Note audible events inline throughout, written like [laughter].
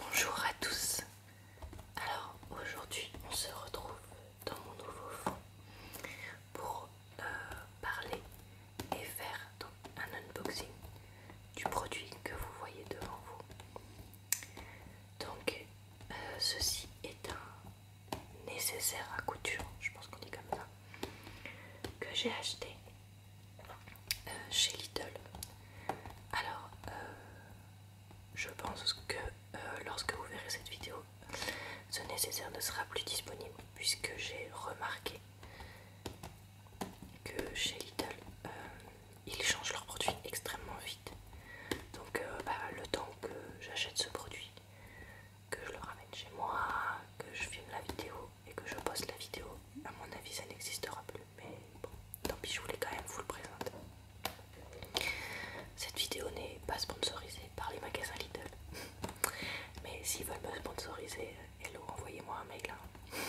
Bonjour à tous. Alors aujourd'hui, on se retrouve dans mon nouveau fond pour euh, parler et faire un unboxing du produit que vous voyez devant vous. Donc euh, ceci est un nécessaire à couture, je pense qu'on dit comme ça, que j'ai acheté euh, chez Little. Alors, euh, je pense que euh, lorsque vous verrez cette vidéo, ce nécessaire ne sera plus disponible puisque j'ai remarqué que chez Little, ils changent leurs produits extrêmement vite. Donc, bah, le temps que j'achète ce produit, que je le ramène chez moi, que je filme la vidéo et que je poste la vidéo, à mon avis, ça n'existera plus mais bon, tant pis, je voulais quand même vous le présenter. Cette vidéo n'est pas sponsorisée par les magasins Lidl, [laughs] mais s'ils veulent me sponsoriser, hello, envoyez-moi un mail. Hein. [laughs]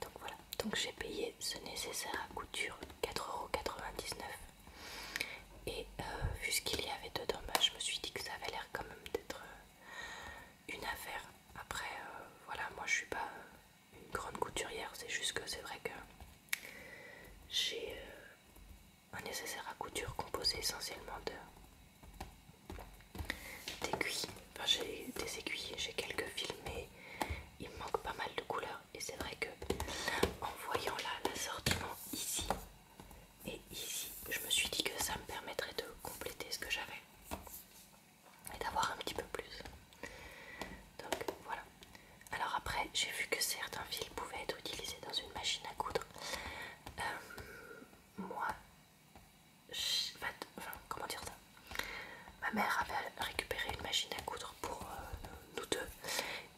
Donc voilà, donc j'ai payé ce nécessaire à couture 4,99€ et euh, vu ce qu'il y avait dedans, dommages bah, je me suis dit que ça avait l'air quand même d'être euh, une affaire. Après, euh, voilà, moi je suis pas une grande couturière, c'est juste que c'est vrai que j'ai euh, un nécessaire à couture composé essentiellement d'aiguilles. Enfin, j'ai des aiguilles, j'ai quelques fils, mais il me manque pas mal de couleurs. Et c'est vrai que en voyant là l'assortiment ici et ici, je me suis dit que ça me permettrait de compléter ce que j'avais et d'avoir un petit peu plus. Donc voilà. Alors après, j'ai vu que certains fils pouvaient être utilisés dans une machine à coudre. Euh, moi, enfin, comment dire ça Ma mère avait récupéré une machine à coudre pour euh, nous deux.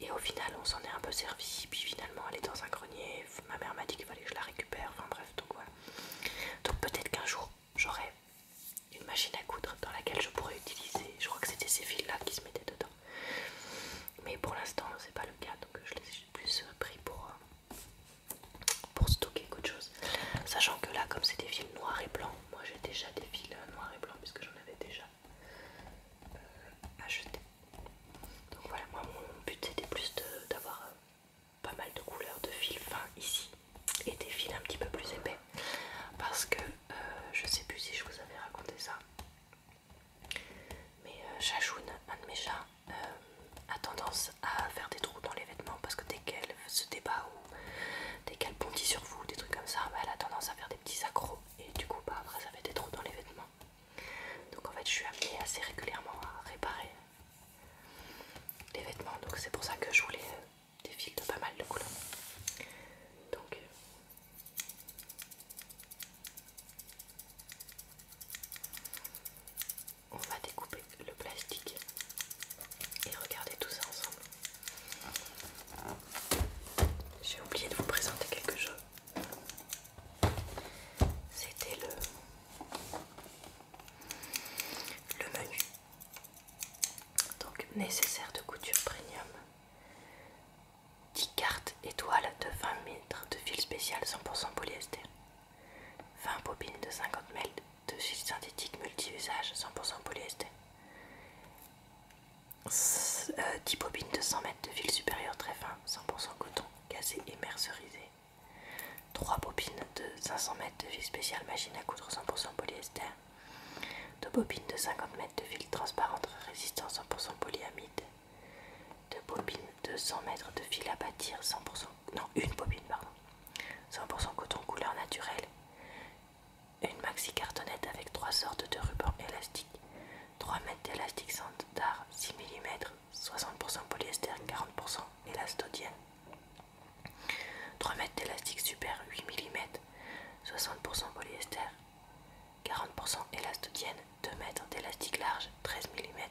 Et au final, on s'en est un peu servi. Puis finalement, elle est dans un grenier. Ma mère m'a dit qu'il fallait que je la récupère. Donc voilà. Donc peut-être qu'un jour j'aurai une machine à coudre dans laquelle je pourrais utiliser. Je crois que c'était ces fils là qui se mettaient dedans. Mais pour l'instant c'est pas le cas. Donc je les ai plus euh, pris pour, euh, pour stocker qu'autre chose. Sachant que là comme c'est des fils noirs et blancs, moi j'ai déjà des fils euh, noirs et blancs puisque j'en avais déjà acheté. Donc voilà, moi mon but c'était plus d'avoir pas mal de couleurs de fil fin ici et des fils un petit peu plus épais parce que euh, je sais plus si je vous avais raconté ça mais Chachoun, euh, un de mes chats, euh, a tendance à faire des trous dans les vêtements parce que dès qu'elle se débat ou dès qu'elle bondit sur vous, des trucs comme ça, bah, elle a tendance à faire des petits accros et du coup bah, après ça fait des trous dans les vêtements. Donc en fait je suis amenée assez régulièrement à réparer les vêtements. Donc c'est pour ça que je voulais des euh, fils de pas mal de couleurs. Donc euh, on va découper le plastique et regarder tout ça ensemble. J'ai oublié de vous présenter quelque chose. C'était le, le menu. Donc nécessaire de couture premium. 10 cartes étoiles de 20 mètres de fil spécial 100% polyester. 20 bobines de 50 mètres de fil synthétique multi-usage 100% polyester. 10 euh, bobines de 100 mètres de fil supérieur très fin 100% coton, cassé et mercerisé. 3 bobines de 500 mètres de fil spécial machine à coudre 100% polyester. 2 bobines de 50 mètres de fil transparente résistant 100% polyamide. 2 bobines de 100 mètres de fil à bâtir 100%... Non, une bobine, pardon. 100% coton couleur naturelle. Une maxi cartonnette avec 3 sortes de rubans élastique 3 mètres d'élastique d'art 6 mm 60% polyester, 40% élastodienne. 3 mètres d'élastique super 8 mm, 60% polyester, 40% élastodienne, 2 mètres d'élastique large 13 mm,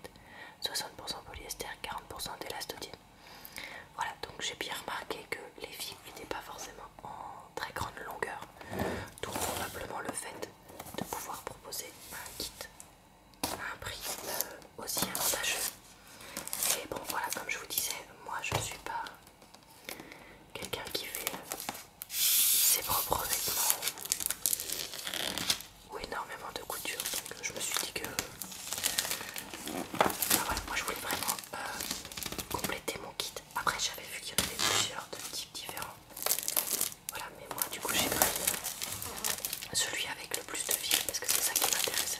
60% polyester, 40% d'élastodienne. Voilà, donc j'ai bien remarqué que les fils n'étaient pas forcément en très grande longueur, tout probablement le fait de pouvoir proposer un kit à un prix euh, aussi avantageux. Et bon voilà, comme je vous disais, moi je ne suis pas quelqu'un qui fait euh, ses propres vêtements ou énormément de couture. Donc je me suis dit que... Euh, bah voilà, moi je voulais vraiment compléter mon kit. Après j'avais vu qu'il y en avait plusieurs de types différents. Voilà, mais moi du coup j'ai pris celui avec le plus de fil parce que c'est ça qui m'intéresse.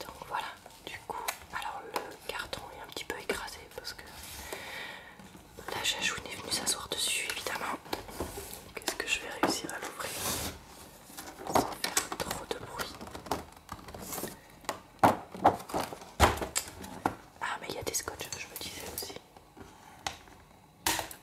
Donc voilà, du coup, alors le carton est un petit peu écrasé parce que la chachoune est venue s'asseoir dessus évidemment. Qu'est-ce que je vais réussir à l'ouvrir sans faire trop de bruit Ah mais il y a des scotch, je me disais aussi.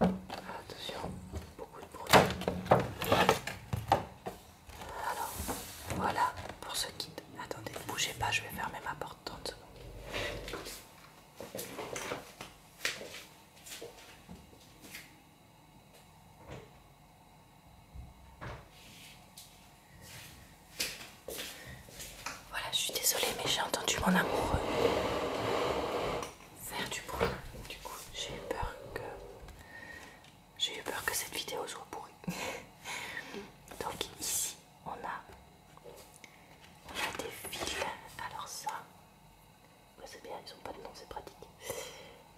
Attention, beaucoup de bruit. Alors, voilà pour ce kit. Attendez, ne bougez pas, je vais fermer ma porte 30 secondes. Voilà, je suis désolée, mais j'ai entendu mon amoureux faire du bruit. Du coup, j'ai eu peur que j'ai eu peur que cette vidéo soit pourrie. [laughs] Donc ici, on a on a des fils. Alors ça, bah, c'est bien, ils ont pas de nom, c'est pratique.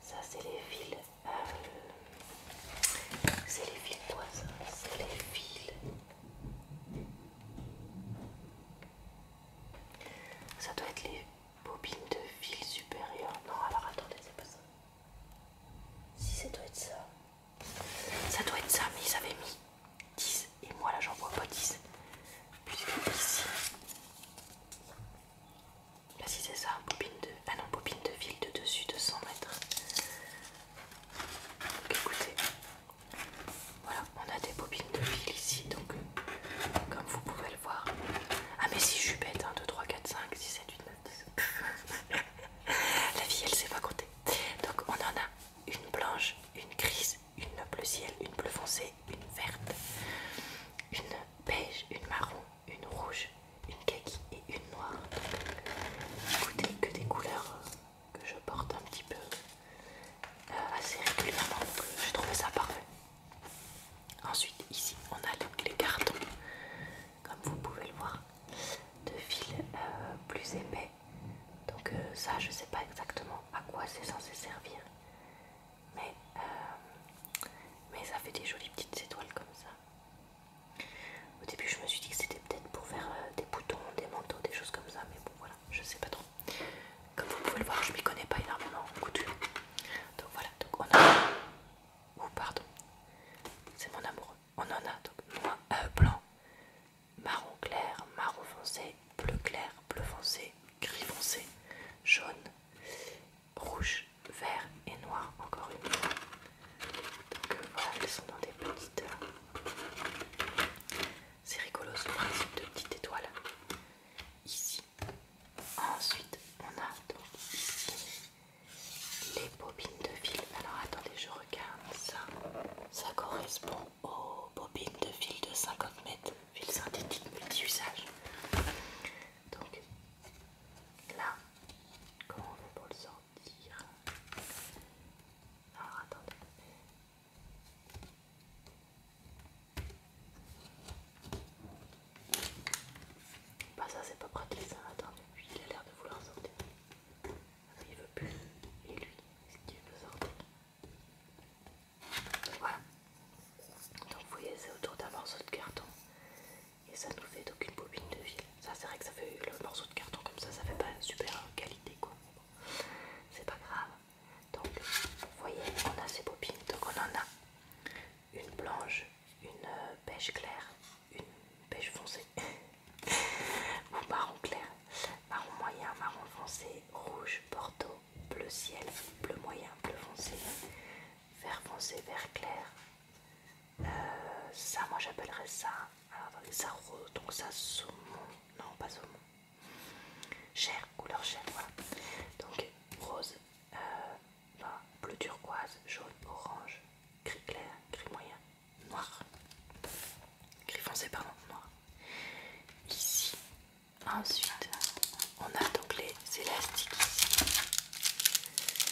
Ça, c'est les fils. Euh, c'est les fils toises, c'est les villes ça doit être les bobines de fil supérieures... Non, alors attendez, c'est pas ça. Si ça doit être ça. Ça doit être ça, mais ils avaient mis 10. Et moi là j'en vois pas 10. Puisque ici. si c'est ça, bobine de. Ah non, bobine de fil de dessus de 100 mètres. écoutez, voilà, on a des bobines de fil ici, donc euh, comme vous pouvez le voir. Ah mais si je suis bête, 1, 2, 3, 4, 5, 6, 7, 8, 9, 10. La vie elle sait pas compter. Donc on en a une blanche, une grise, une bleu ciel, une bleu foncé, une verte, une beige, une marron, une rouge, une kaki et une noire. écoutez que des couleurs euh, que je porte un petit peu euh, assez régulièrement, euh, j'ai trouvé ça parfait. Ensuite, ici on a toutes les cartons, comme vous pouvez le voir, de fil euh, plus épais. Donc, ça, je sais pas exactement à quoi c'est censé servir, mais, mais ça fait des jolies petites étoiles comme ça. Au début, je me suis dit que c'était peut-être pour faire des boutons, des manteaux, des choses comme ça, mais bon, voilà, je sais pas trop. Comme vous pouvez le voir, je m'y connais pas énormément en couture. Donc voilà, donc on a... ou pardon, c'est mon amoureux. On en a donc moins euh, blanc, marron clair, marron foncé, bleu clair, bleu foncé, gris foncé, jaune, rouge, vert et noir encore une fois. Donc euh, voilà, elles sont dans des petites... Euh, c'est rigolo ce principe de petite étoile. Ici. Ensuite, on a donc les bobines de fil. Alors attendez, je regarde ça. Ça correspond aux bobines de fil de 50 mètres. Fil synthétique multi-usage. Donc là, comment on fait pour le sortir Alors attendez. Bah ça c'est pas pratique ça, attendez, lui il a l'air de vouloir sortir. il veut plus. Et lui, est-ce qu'il veut sortir Voilà. Donc vous voyez c'est autour d'un morceau de carton. Et ça nous fait donc une bobine de fil. Ça c'est vrai que ça fait le morceau de carton comme ça, ça fait pas une super qualité quoi c'est pas grave. Donc, vous voyez, on a ces bobines. Donc, on en a une blanche, une euh, beige claire, une beige foncée [laughs] ou marron clair, marron moyen, marron foncé, rouge, porto, bleu ciel, bleu moyen, bleu foncé, vert foncé, vert clair. Euh, ça, moi j'appellerais ça. Alors, ça donc ça saumon non pas saumon, cher couleur chair, voilà. Donc rose, euh, bleu turquoise, jaune, orange, gris clair, gris moyen, noir, gris foncé pardon, noir. Ici, ensuite, on a donc les élastiques ici.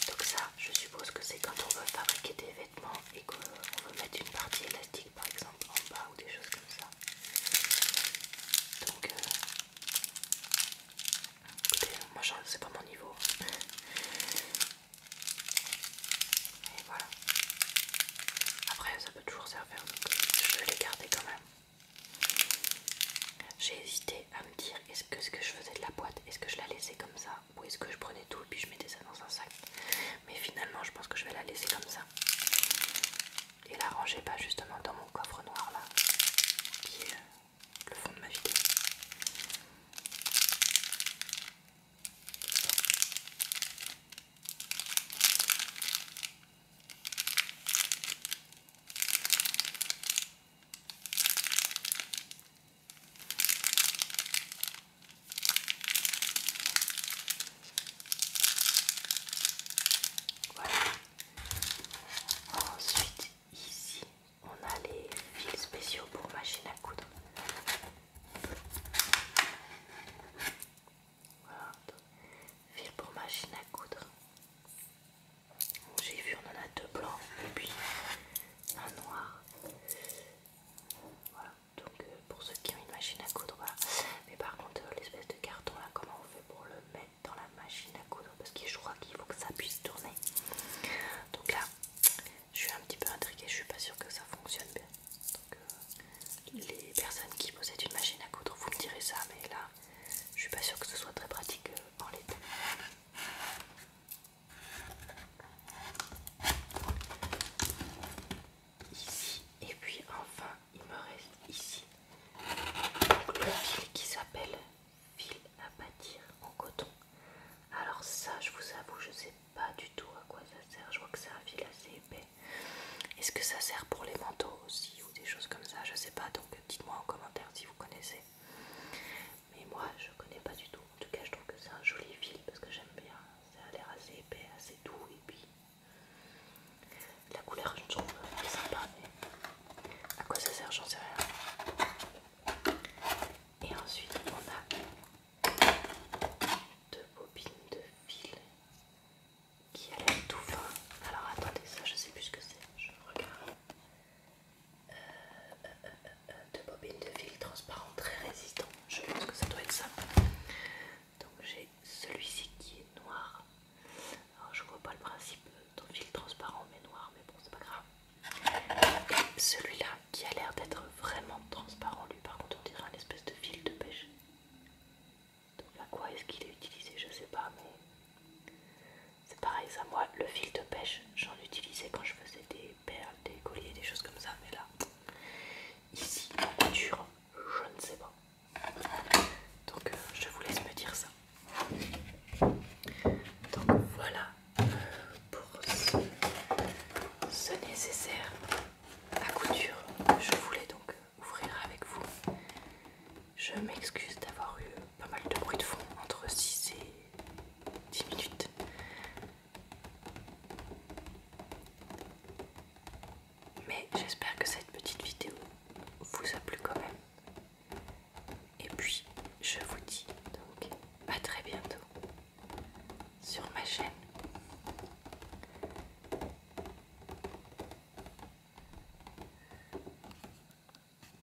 Donc ça, je suppose que c'est quand on veut fabriquer des vêtements et et qu'on veut mettre une partie élastique par exemple en bas ou des choses comme ça. Donc, euh, écoutez, moi c'est pas mon niveau. [laughs] Et voilà. Après, ça peut toujours servir, donc je vais les garder quand même. J'ai hésité à me dire est-ce que ce que je faisais de la boîte, est-ce que je la laissais comme ça ou est-ce que je prenais tout et puis je mettais ça dans un sac Mais finalement je pense que je vais la laisser comme ça Et la ranger pas justement dans mon coffre noir là Qui est euh, le fond de ma vidéo voilà. Ensuite, ici, on a les fils spéciaux pour machine à coudre. Voilà, fil pour machine à coudre. J'ai vu, on en a deux blancs et puis un noir. Voilà, donc euh, pour ceux qui ont une machine à coudre, Mais par contre, euh, l'espèce de carton là, comment on fait pour le mettre dans la machine à coudre Parce que je crois qu'il faut que ça puisse tourner. Donc là, je suis un petit peu intriguée, je suis pas sûre que ça fonctionne bien. Donc, euh, les personnes qui possèdent une machine à coudre, vous me direz ça, mais là, je suis pas sûre que ce soit très pratique en l'état ici et puis enfin il me reste ici le fil qui s'appelle fil à bâtir en coton alors ça je vous avoue je sais pas du tout à quoi ça sert je vois que c'est un fil assez épais est-ce que ça sert pour les manteaux aussi ou des choses comme ça je sais pas donc dites moi en commentaire si vous connaissez mais moi je connais pas du tout. En tout cas, je trouve que c'est un joli fil parce que j'aime bien. Ça a l'air assez épais, assez doux, et puis la couleur, je trouve très sympa, mais à quoi ça sert, j'en sais rien. Et ensuite, on a deux bobines de fil qui a tout fin. Alors attendez, ça je sais plus ce que c'est, je regarde. Euh, de bobines de fil transparent très résistant. Je pense que ça doit être ça. Donc j'ai celui-ci qui est noir. Alors je vois pas le principe de fil transparent mais noir, mais bon c'est pas grave. celui-là qui a l'air d'être vraiment transparent, lui par contre on dirait un espèce de fil de pêche. Donc à quoi est-ce qu'il est utilisé Je sais pas mais c'est pareil, ça, moi, le fil de pêche, j'en utilisais quand je faisais des perles, des colliers, des choses comme ça, mais là, ici, en couture, je ne sais pas. Donc, euh, je vous laisse me dire ça. Donc, voilà euh, pour ce, ce nécessaire à couture. Je voulais donc ouvrir avec vous. Je m'excuse d'avoir eu pas mal de bruit de fond, entre 6 et 10 minutes. Mais j'espère que cette petite vidéo vous a plu quand même. Et puis je vous dis donc à très bientôt sur ma chaîne.